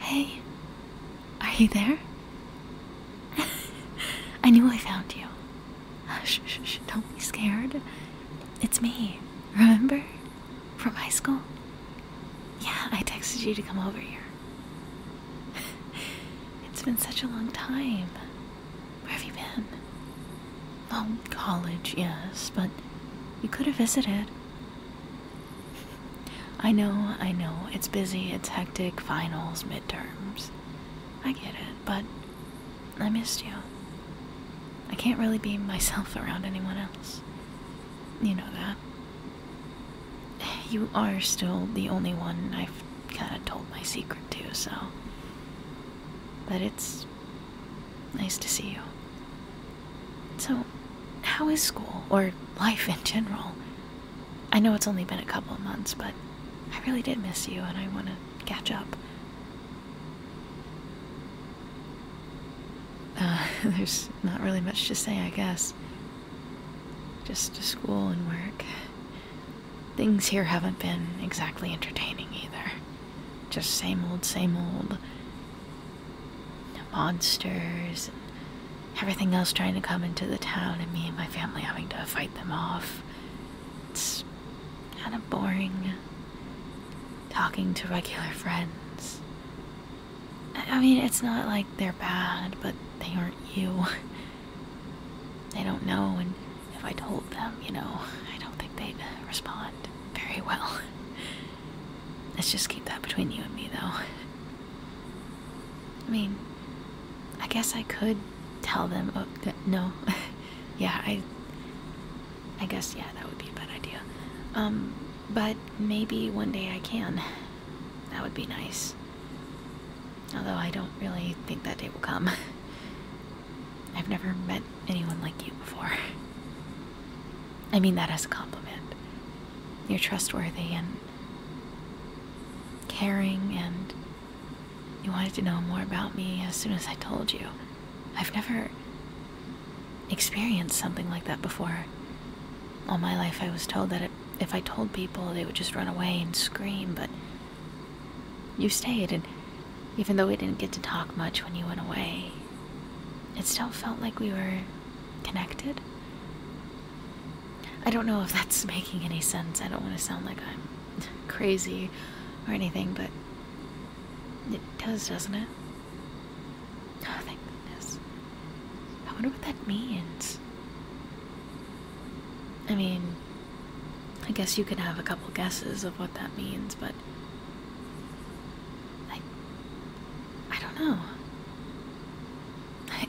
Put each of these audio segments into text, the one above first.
Hey, are you there? I knew I found you. Shh, shh, shh, don't be scared. It's me, remember? From high school? Yeah, I texted you to come over here. it's been such a long time. Where have you been? Well, college, yes, but you could have visited. I know, I know, it's busy, it's hectic, finals, midterms. I get it, but I missed you. I can't really be myself around anyone else. You know that. You are still the only one I've kind of told my secret to, so. But it's nice to see you. So, how is school, or life in general? I know it's only been a couple of months, but I really did miss you and I want to catch up. Uh, there's not really much to say, I guess. Just school and work. Things here haven't been exactly entertaining either. Just same old, same old monsters and everything else trying to come into the town, and me and my family having to fight them off. It's kind of boring talking to regular friends. I mean, it's not like they're bad, but they aren't you. They don't know, and if I told them, you know, I don't think they'd respond very well. Let's just keep that between you and me, though. I mean, I guess I could tell them. Oh, no. yeah, I. I guess, yeah, that would be a bad idea. Um, but maybe one day I can. That would be nice. Although I don't really think that day will come. I've never met anyone like you before. I mean that as a compliment. You're trustworthy and caring, and you wanted to know more about me as soon as I told you. I've never experienced something like that before. All my life, I was told that if I told people, they would just run away and scream, but you stayed, and even though we didn't get to talk much when you went away, it still felt like we were connected. I don't know if that's making any sense. I don't want to sound like I'm crazy or anything, but it does, doesn't it? Oh, thank goodness. I wonder what that means. I mean, I guess you could have a couple guesses of what that means, but I I don't know.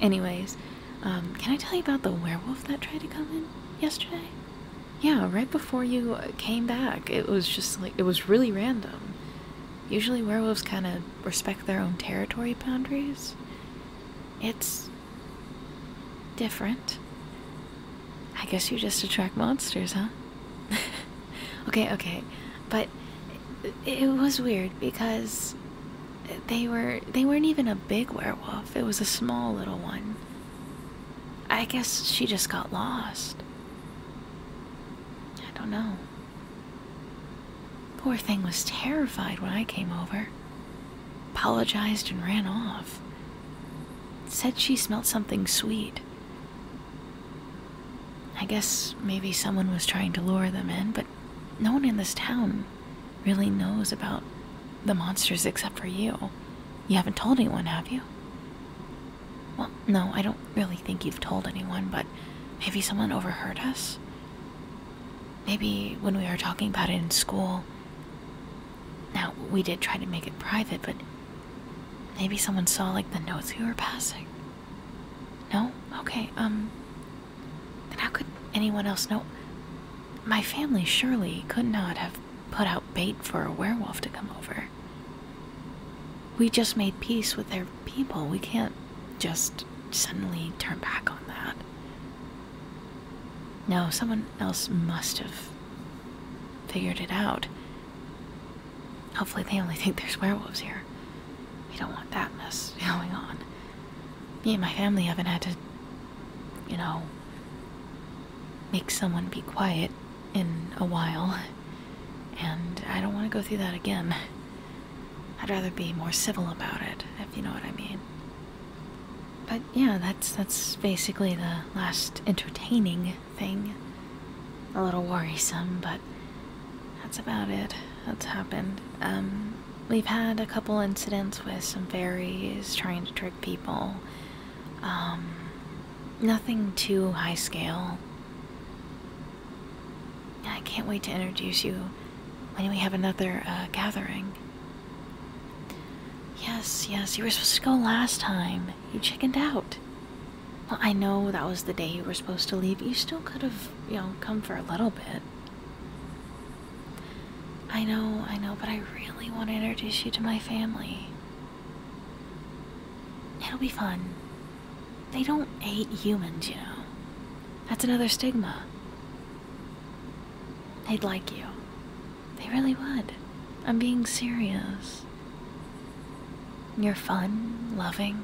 Anyways, um, can I tell you about the werewolf that tried to come in yesterday? Yeah, right before you uh, came back, it was just like, it was really random. Usually werewolves kind of respect their own territory boundaries. It's different. I guess you just attract monsters, huh? okay, okay, but it, was weird because they were they weren't even a big werewolf. It was a small little one. I guess she just got lost. I don't know. Poor thing was terrified when I came over. Apologized and ran off. Said she smelled something sweet. I guess maybe someone was trying to lure them in, but no one in this town really knows about the monsters except for you. You haven't told anyone, have you? Well, no, I don't really think you've told anyone, but maybe someone overheard us? Maybe when we were talking about it in school. Now, we did try to make it private, but maybe someone saw, like, the notes we were passing. No? Okay, um. Then how could anyone else know? My family surely could not have put out bait for a werewolf to come over. We just made peace with their people. We can't just suddenly turn back on that. No, someone else must have figured it out. Hopefully, they only think there's werewolves here. We don't want that mess going on. Me and my family haven't had to, you know, make someone be quiet in a while, and I don't want to go through that again. I'd rather be more civil about it, if you know what I mean. But yeah, that's that's basically the last entertaining thing. A little worrisome, but that's about it that's happened. Um, we've had a couple incidents with some fairies trying to trick people. Um, nothing too high scale. I can't wait to introduce you when we have another uh, gathering. Yes, yes, you were supposed to go last time you chickened out. Well, I know that was the day you were supposed to leave. You still could have, you know, come for a little bit. I know, I know, but I really want to introduce you to my family. It'll be fun. They don't hate humans, you know. That's another stigma. They'd like you. They really would. I'm being serious. You're fun, loving,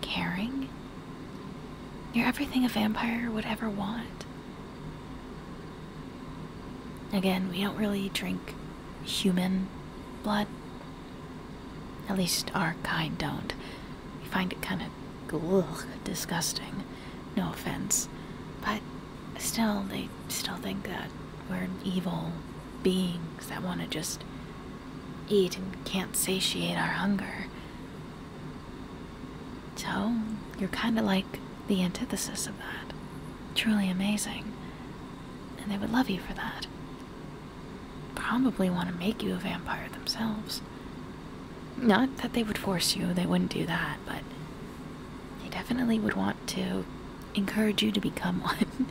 caring. You're everything a vampire would ever want. Again, we don't really drink human blood. At least our kind don't. We find it kind of disgusting. No offense. But still, they still think that we're evil beings that want to just eat and can't satiate our hunger. So, you're kind of like the antithesis of that. Truly amazing. And they would love you for that. Probably want to make you a vampire themselves. Not that they would force you, they wouldn't do that, but they definitely would want to encourage you to become one.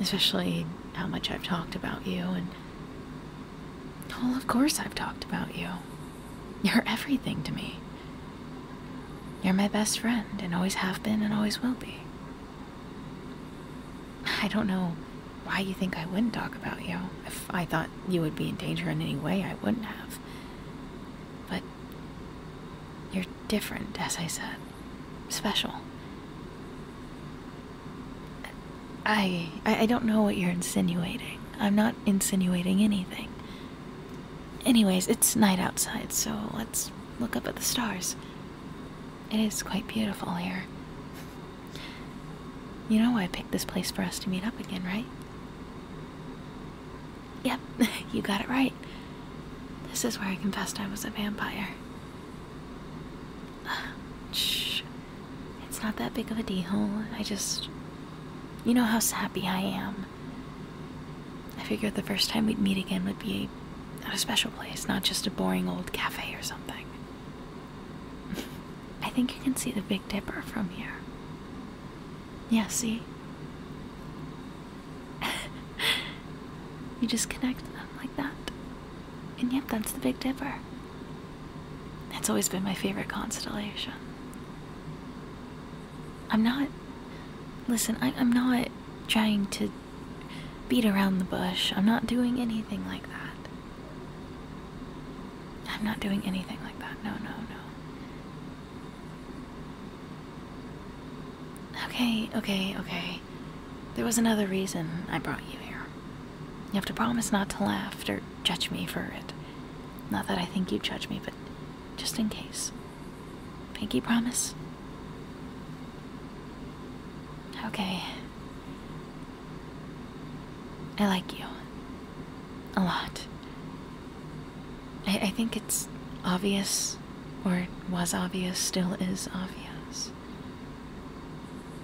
Especially how much I've talked about you and. Well, of course, I've talked about you. You're everything to me. You're my best friend, and always have been, and always will be. I don't know why you think I wouldn't talk about you. If I thought you would be in danger in any way, I wouldn't have. But you're different, as I said. Special. I, I I don't know what you're insinuating. I'm not insinuating anything. Anyways, it's night outside, so let's look up at the stars. It is quite beautiful here. You know why I picked this place for us to meet up again, right? Yep, you got it right. This is where I confessed I was a vampire. Shh. It's not that big of a deal. I just. You know how sappy I am. I figured the first time we'd meet again would be at a special place, not just a boring old cafe or something. I think you can see the Big Dipper from here. Yes, see? you just connect them like that. And yep, that's the Big Dipper. It's always been my favorite constellation. I'm not. Listen, I, I'm not trying to beat around the bush. I'm not doing anything like that. I'm not doing anything like that. No, no, no. Okay, okay, okay. There was another reason I brought you here. You have to promise not to laugh or judge me for it. Not that I think you judge me, but just in case. Pinky promise? Okay. I like you. A lot. I, I think it's obvious or it was obvious, still is obvious.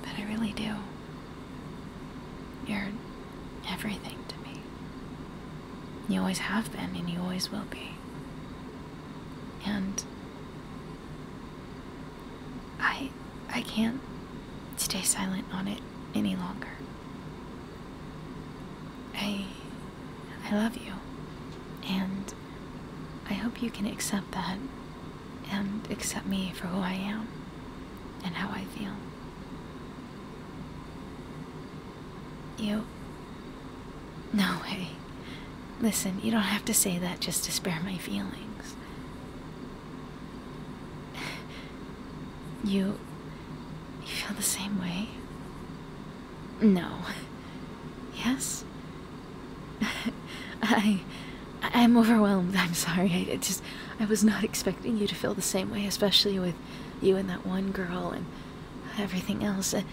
But I really do. You're everything to me. You always have been, and you always will be. And I I can't stay silent on it any longer. I I love you. And I hope you can accept that and accept me for who I am and how I feel. You. No way. Listen, you don't have to say that just to spare my feelings. You. You feel the same way? No. Yes? I. I'm overwhelmed. I'm sorry. I, just. I was not expecting you to feel the same way, especially with you and that one girl and everything else. well,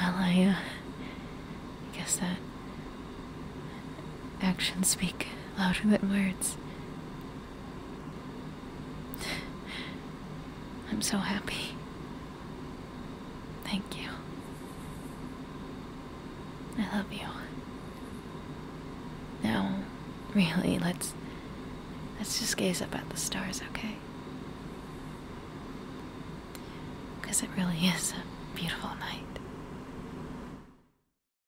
uh, I guess that actions speak louder than words. I'm so happy. Thank you. I love you. Now, really, let's let's just gaze up at the stars, okay? Cuz it really is a beautiful night.